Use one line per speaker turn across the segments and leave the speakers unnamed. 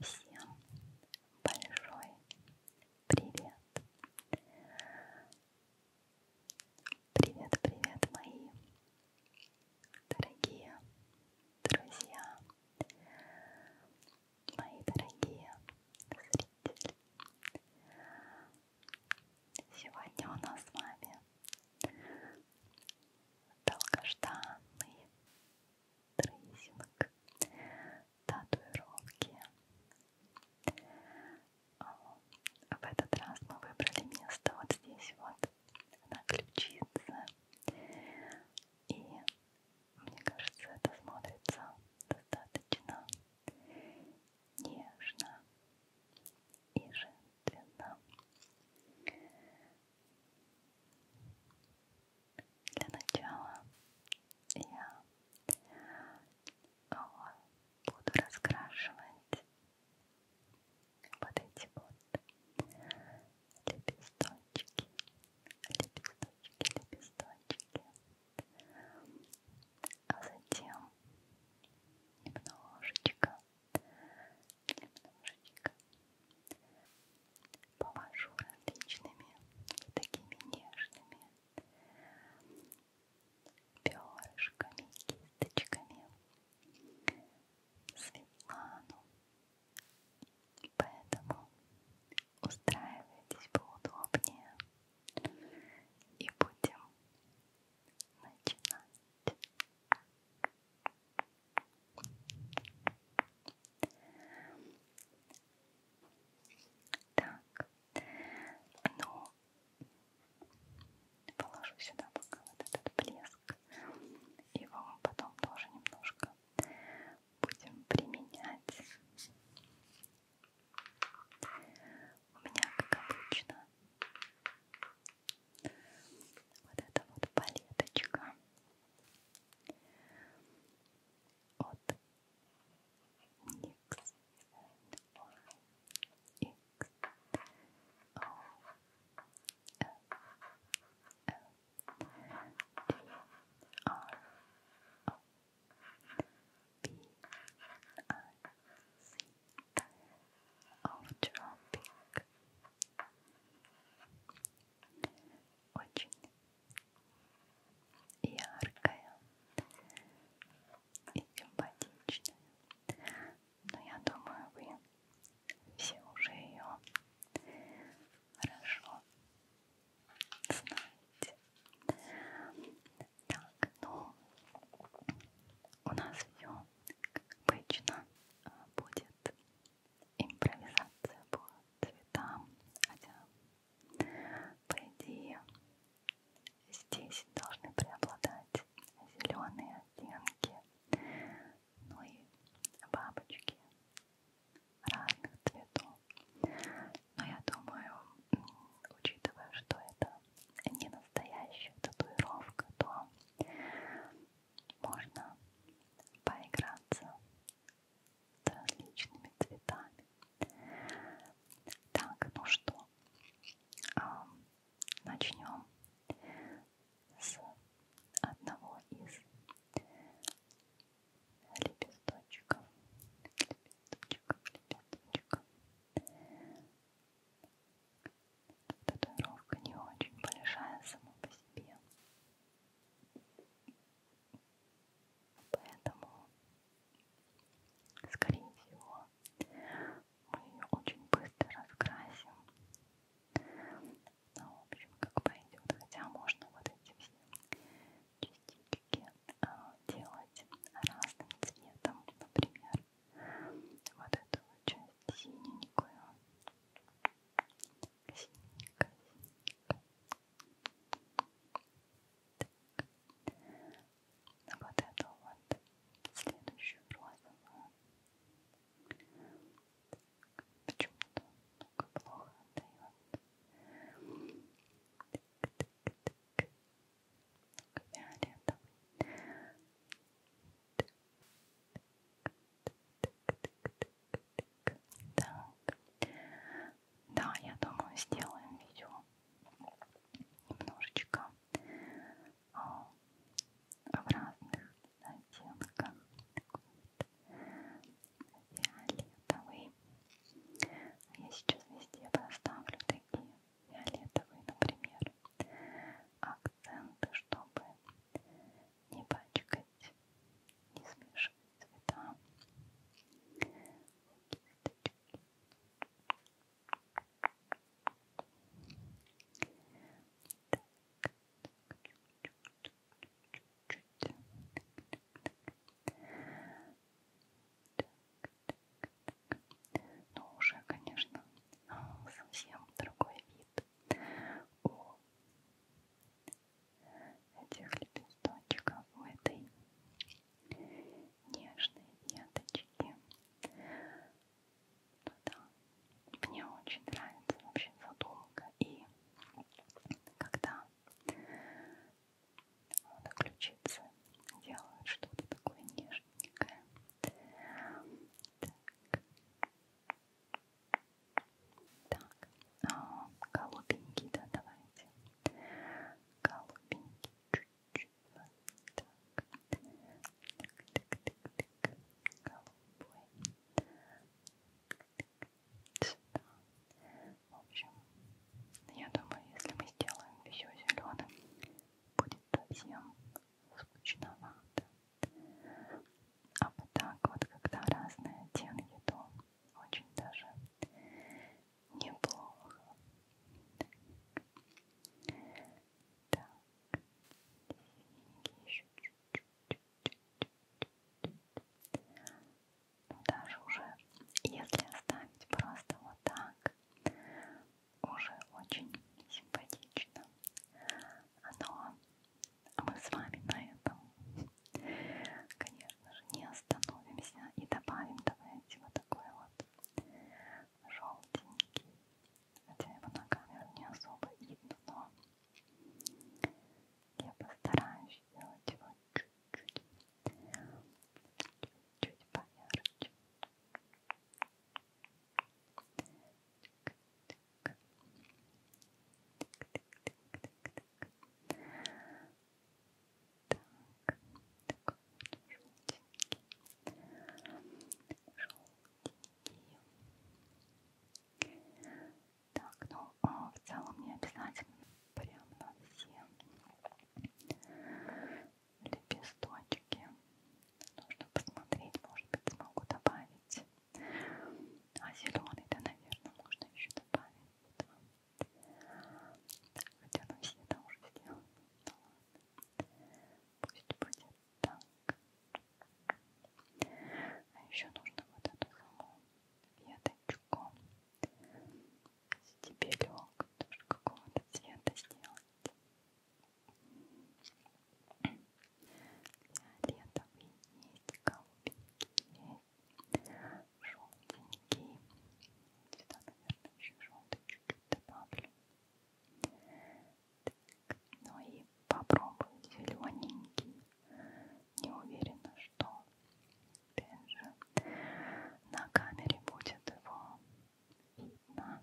Всем большой привет! Привет, привет, мои дорогие друзья, мои дорогие зрители! Сегодня у нас с вами долгожданный трейсинг, татуировки. А, в этот раз мы выбрали место вот здесь вот, на ключице. И мне кажется, это смотрится достаточно нежно и женственно. Для начала я а, буду раскрашивать вот эти вот лепесточки, лепесточки, лепесточки, а затем немножечко немножечко помажу различными такими нежными перышками, кисточками Светлану. Поэтому устраивайтесь поудобнее и будем начинать. Так, ну, положу сюда пока вот этот блеск, его мы потом тоже немножко будем применять. У меня, как обычно, вот это вот палеточка от NYX X O L L D R O B I C of Tropic. Очень яркая и симпатичная. Но я думаю, вы все уже ее хорошо знаете. Так, ну у нас все как обычно, а, будет импровизация по цветам, хотя, по идее, здесь должны преобладать зеленые оттенки, ну и бабочки разных цветов. Но я думаю, учитывая, что это не настоящая татуировка, то можно поиграться с различными цветами. Так, ну что, а, начнем с одного из лепесточков. Лепесточков, лепесточков. Татуировка не очень большая сама по себе. Поэтому, скорее всего, мы ее очень быстро раскрасим. Ну, в общем, как пойдет. Хотя можно вот эти все частички а, делать разным цветом. Например, вот эту часть синенькую, Косиненько, косиненько. Так. Вот эту вот следующую розовую. Почему-то много плохо отдает. Так, так, так. Фиолетовый. Так. Да, я думаю, сделаем видео немножечко а, в разных оттенках. Фиолетовый. А я сейчас везде поставлю такие фиолетовые, например, акценты, чтобы не пачкать, не смешивать цвета кисточки так, чуть-чуть так, так, так. так, так, так. но уже, конечно, совсем другой вид у этих лепесточков, у этой нежной веточки. Ну, да. Мне очень нравится вообще задумка. И когда вот, ключицы делают что-то такое нежненькое. Так. Так, О, а, голубенький, да, давайте. Голубенький, чуть-чуть. Так, так, так, так, так. Голубой. Сюда. В общем, я думаю, если мы сделаем все зеленым, будет совсем скучновато. А вот так вот, когда разные оттенки, то очень даже неплохо. Так, синенький еще чуть-чуть. Но ну, даже уже, если оставить просто вот так, уже очень симпатично. Оно а мы с вами на этом, конечно же, не остановимся и добавим, давайте, вот такой вот желтенький. Хотя его на камеру не особо видно, но я постараюсь сделать его чуть-чуть, чуть-чуть поярче. Так, так, так. Так, так, так, так. Так, такой вот желтенький. Желтенький. Так, ну а в целом не обязательно прям на все лепесточки. Нужно посмотреть, может быть, смогу добавить а зеленый-то, наверное, можно еще добавить. Да. Хотя ну все это уже сделано. Ну ладно. Пусть будет так. А еще нужно вот эту саму веточку стебелек тоже какого-то цвета сделать. Фиолетовый есть, голубенький есть, желтенький. Сюда, наверное, еще желтый чуть-чуть добавлю. Так, ну и попробую зелененький. Не уверена, что опять же на камере будет его видно.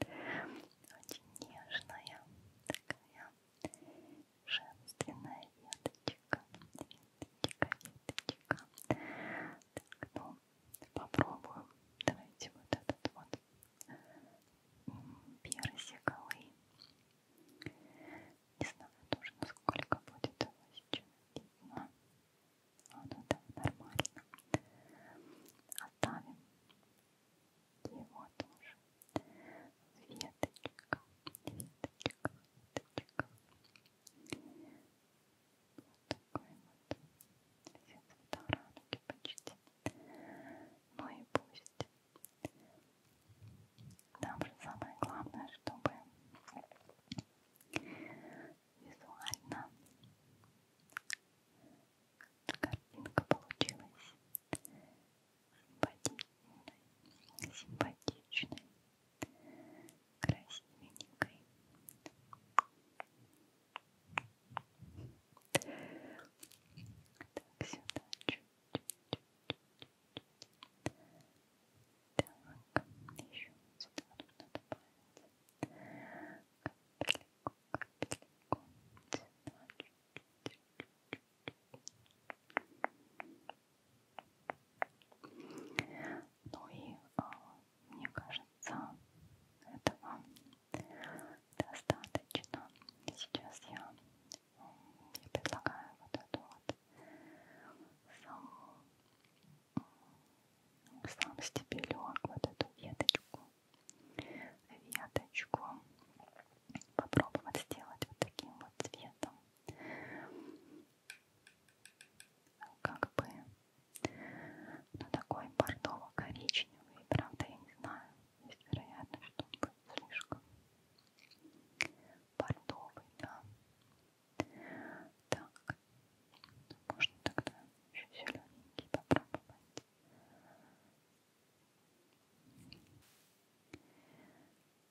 Очень нежная, такая женственная веточка. Веточка, веточка. Так, ну, попробуем. Давайте вот этот вот персиковый. Не знаю тоже, насколько будет его сейчас видно. Вот а, это ну нормально. Оставим его тоже веточка, веточка, веточка. Вот такой вот все цвета радуги почти. Ну и пусть. Нам же самое главное, чтобы визуально Картинка получилась симпатичной, симпатичной, красивенькой. Так, сюда чуть-чуть. Так, еще сюда нужно добавить капельку, капельку, сюда чуть-чуть. Ну и а, мне кажется, этого достаточно. Сейчас я, я предлагаю вот эту вот саму сам стебелек, вот эту веточку веточку попробовать сделать вот таким вот цветом как бы ну, такой бордово-коричневый правда я не знаю есть вероятно, что он будет слишком бордовый да так можно тогда еще зелененький попробовать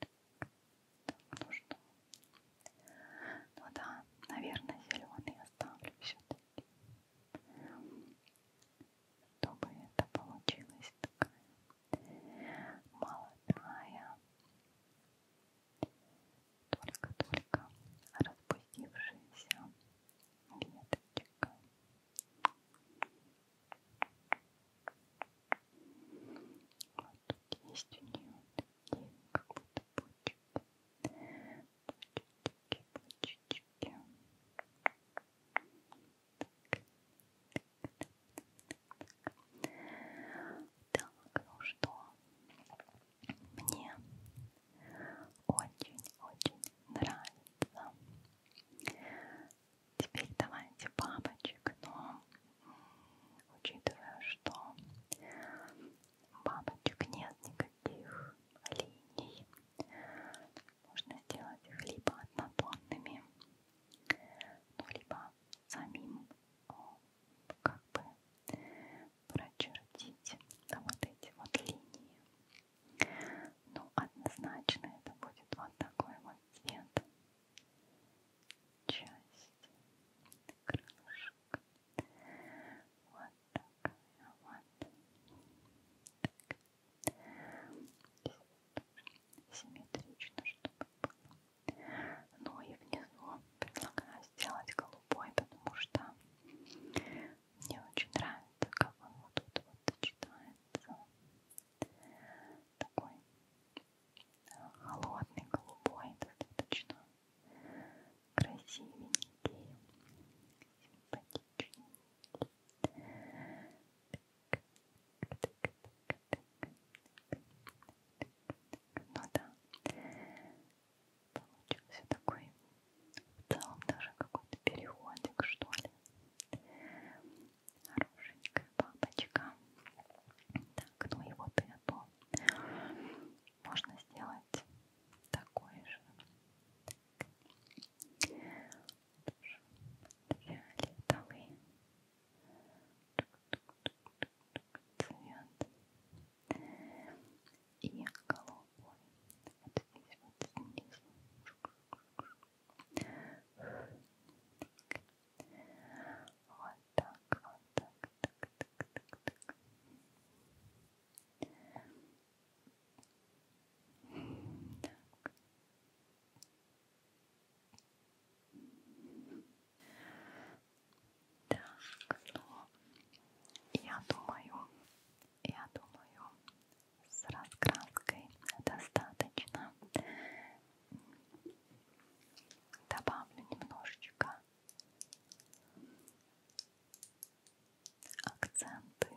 так, ну что? Ну да, наверное, зеленый оставлю все-таки. Чтобы это получилась такая молодая, только-только распустившаяся веточка. Вот есть у нее такие как будто почки. Почечки, почечки. Так, ну что, мне очень-очень нравится Теперь давайте бабочек, но учитывая, что бабочек нет никаких линий, можно сделать их либо однотонными, ну, либо самим как бы прочертить да, вот эти вот линии ну, однозначно это будет вот такой вот цвет. Часть крылышек. Вот такая вот. Так. Симметрично, чтобы было. Ну и внизу предлагаю сделать голубой, потому что мне очень нравится, как он вот тут вот сочетается. Такой э, холодный, голубой, достаточно красивенький, симпатичный. Ну да, получился такой в целом даже какой-то переходик, что ли. Хорошенькая бабочка. Так, ну и вот эту можно сделать такой же. Так. Фиолетовый цвет и голубой. Вот здесь вот снизу. Вот так, вот так, так, так, так, так. так. Так, ну, я думаю, я думаю, с раскраской достаточно. Добавлю немножечко акценты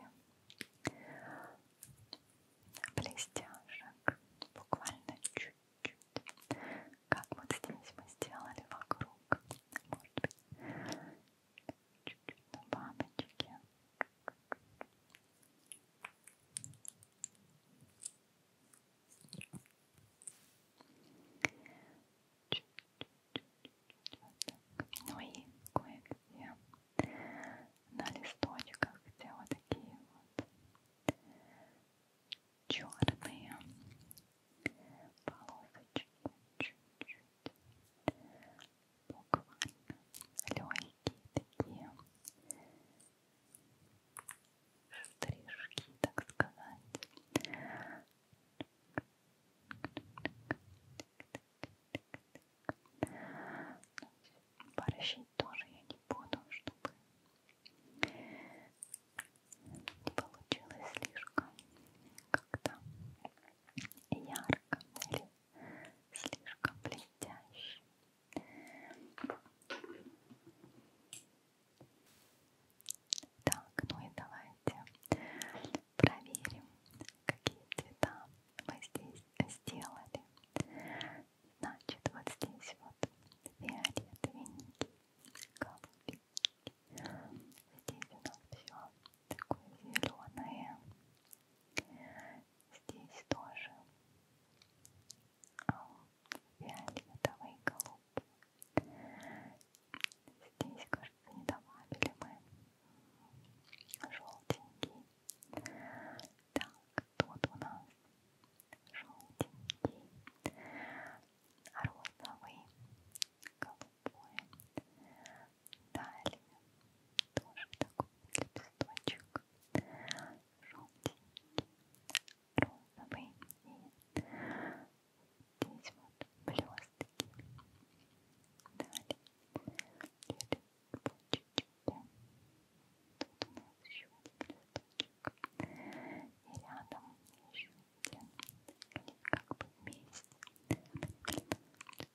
блестяшек, буквально чуть-чуть, как вот здесь мы сделали вокруг, может быть, чуть-чуть на бабочке. Чуть -чуть, чуть -чуть, вот ну и кое-где на листочках, где вот такие вот черные полосочки чуть-чуть буквально легкие такие штришки, так сказать. Борщить тоже я не буду, чтобы не получилось слишком как-то ярко или слишком блестящий. Так, ну и давайте проверим, какие цвета мы здесь сделали. Значит, вот здесь вот фиолетовенький, голубенький. Здесь у нас все такое зеленое. Здесь тоже фиолетовый а и голубой. Здесь, кажется, не добавили мы желтенький. Так, тут у нас желтенький, розовый, голубой, Далее тоже такой лепесточек желтенький, розовый и здесь вот блестки. Далее лепесточки. Тут у нас еще один лепесточек. И рядом еще один. Они как бы вместе.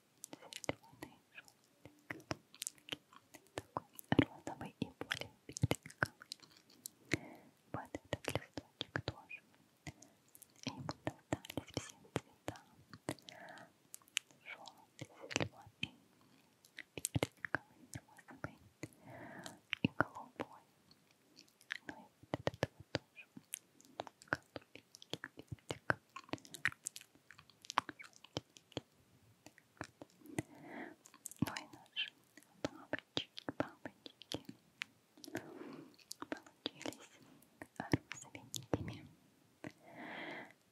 зеленый, желтый, голубенький, такой розовый и более персиковый. Вот этот листочек тоже. Ему достались все цвета. Желтый, зеленый, персиковый, розовый и голубой. Ну и вот этот вот тоже. Голубенький, персиковый. Ну и наши бабочки, бабочки получились розовенькими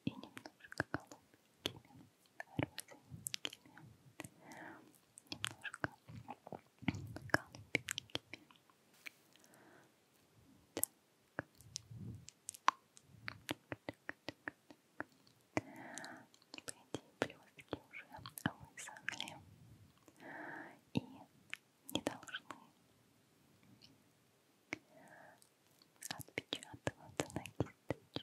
и немножко голубенькими, розовенькими, немножко голубенькими. Так плюшки уже высохли и не должны отпечатываться на кисточке. Так,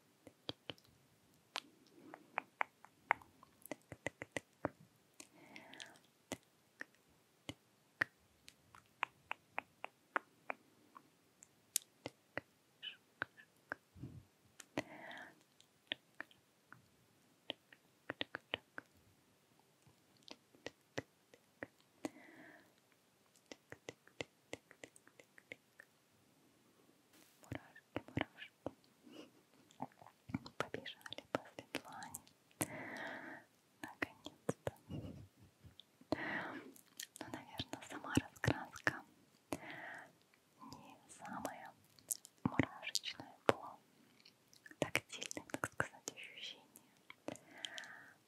так, так. Так, Мурашки, мурашки. Побежали по Светлане наконец-то. Ну, наверное, сама раскраска не самая мурашечная по тактильным, так сказать, ощущениям.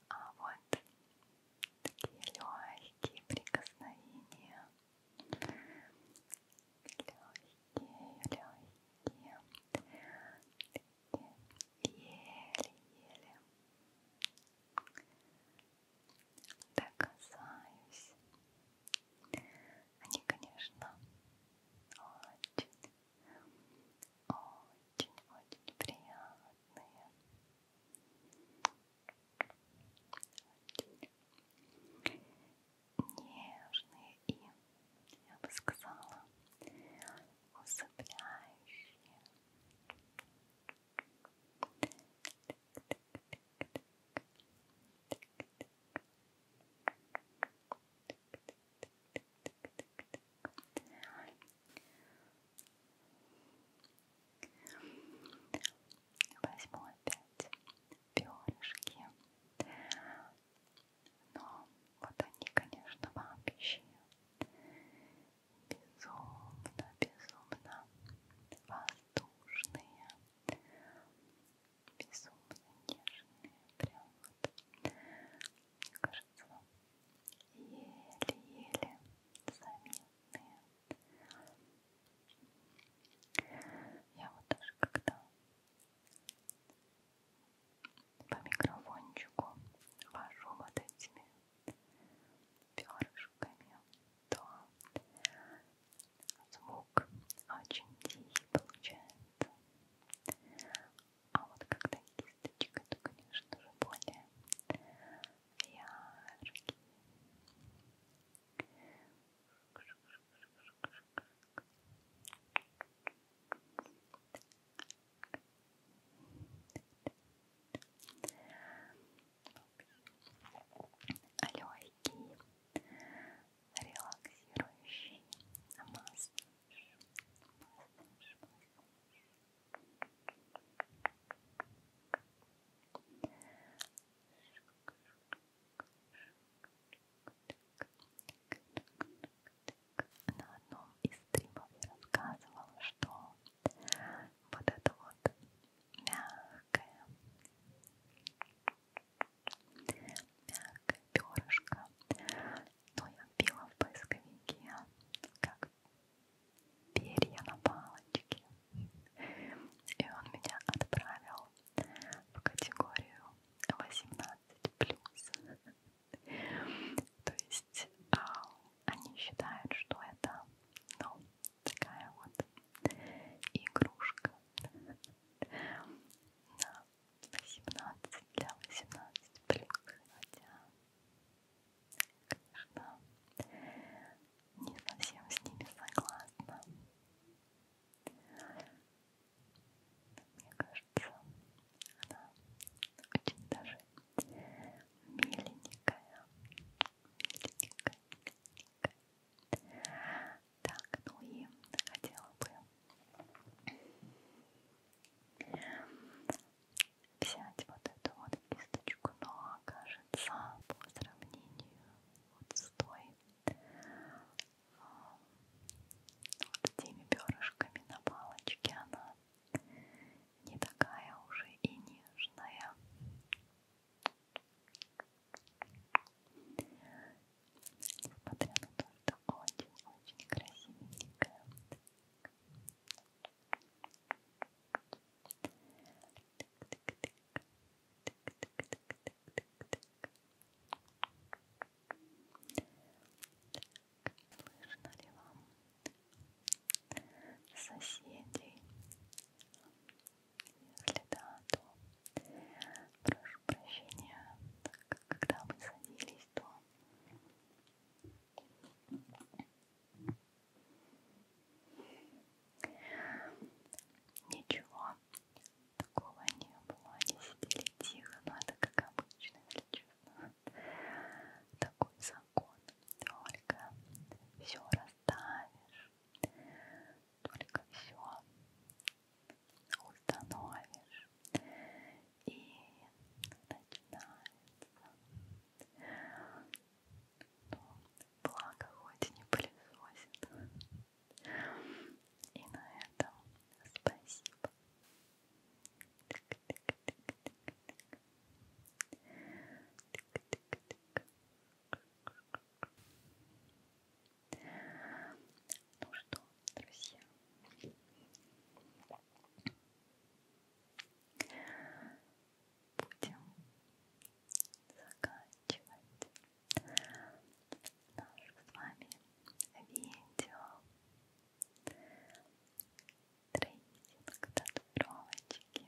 А вот такие легкие прикосновения. Легкие, легкие еле-еле доказаюсь. Они, конечно, очень, очень, очень приятные. Очень нежные и я бы сказала, усыпляющие. Возьму опять перышки но вот они, конечно, вообще безумно, безумно воздушные, безумно нежные, прям вот, мне кажется, еле-еле заметные. Я вот даже когда по микрофончику вожу вот этими перышками, то звук очень тихий получается. А вот когда кисточка, то, конечно же, более яркий легкий, релаксирующий массаж. массаж, массаж на одном из стримов я рассказывала, что вот это вот мягкое, мягкое перышко, но я вбила в поисковике как перья на палочке, и он меня отправил в категорию 18+. То есть а, они считают, что это, ну, такая вот игрушка на 18 для 18 плюс, хотя, конечно, не совсем с ними согласна. Мне кажется, кажется, она очень даже миленькая, миленькая, миленькая. Так, ну и хотела бы взять вот эту вот кисточку, но кажется, по сравнению вот с той э, вот с теми перышками на палочке она не такая уже и нежная. Несмотря на то, что очень-очень красивенькая. Слышно ли вам соседей? Если да, то прошу прощения, так как когда мы садились, то ничего такого не было, они сидели тихо, но это как обычно, если честно такой закон. Только все расставишь, только все установишь. И начинается. Ну, благо хоть не пылесосит. И на этом спасибо. Ну что, друзья, будем заканчивать наше с вами видео трейсинг, татуировочки.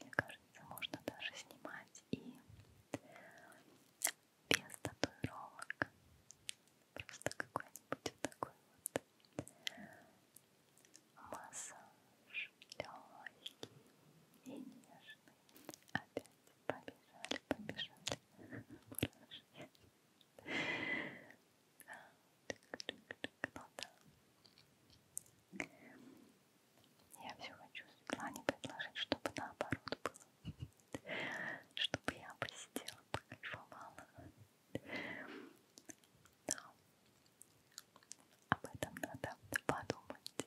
Мне кажется, можно даже снимать и без татуировок. Просто какой-нибудь вот такой вот массаж легкий и нежный. Опять побежали, побежали. Мурашки. Я все хочу Светлане предложить, чтобы наоборот было. Чтобы я посидела, покайфовала. Но об этом надо подумать.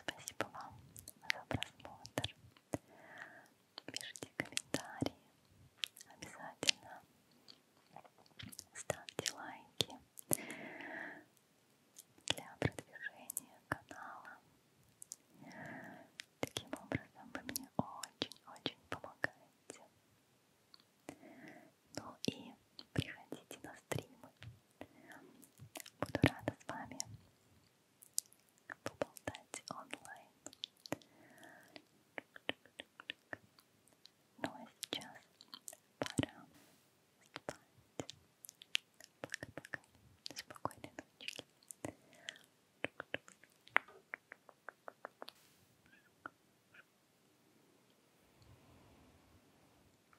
Спасибо вам за просмотр. Пишите комментарии. Обязательно ставьте лайки для продвижения канала. Таким образом вы мне очень-очень помогаете. Ну и приходите на стримы. Буду рада с вами поболтать онлайн. Ну а сейчас пора спать. Пока-пока. Спокойной ночи.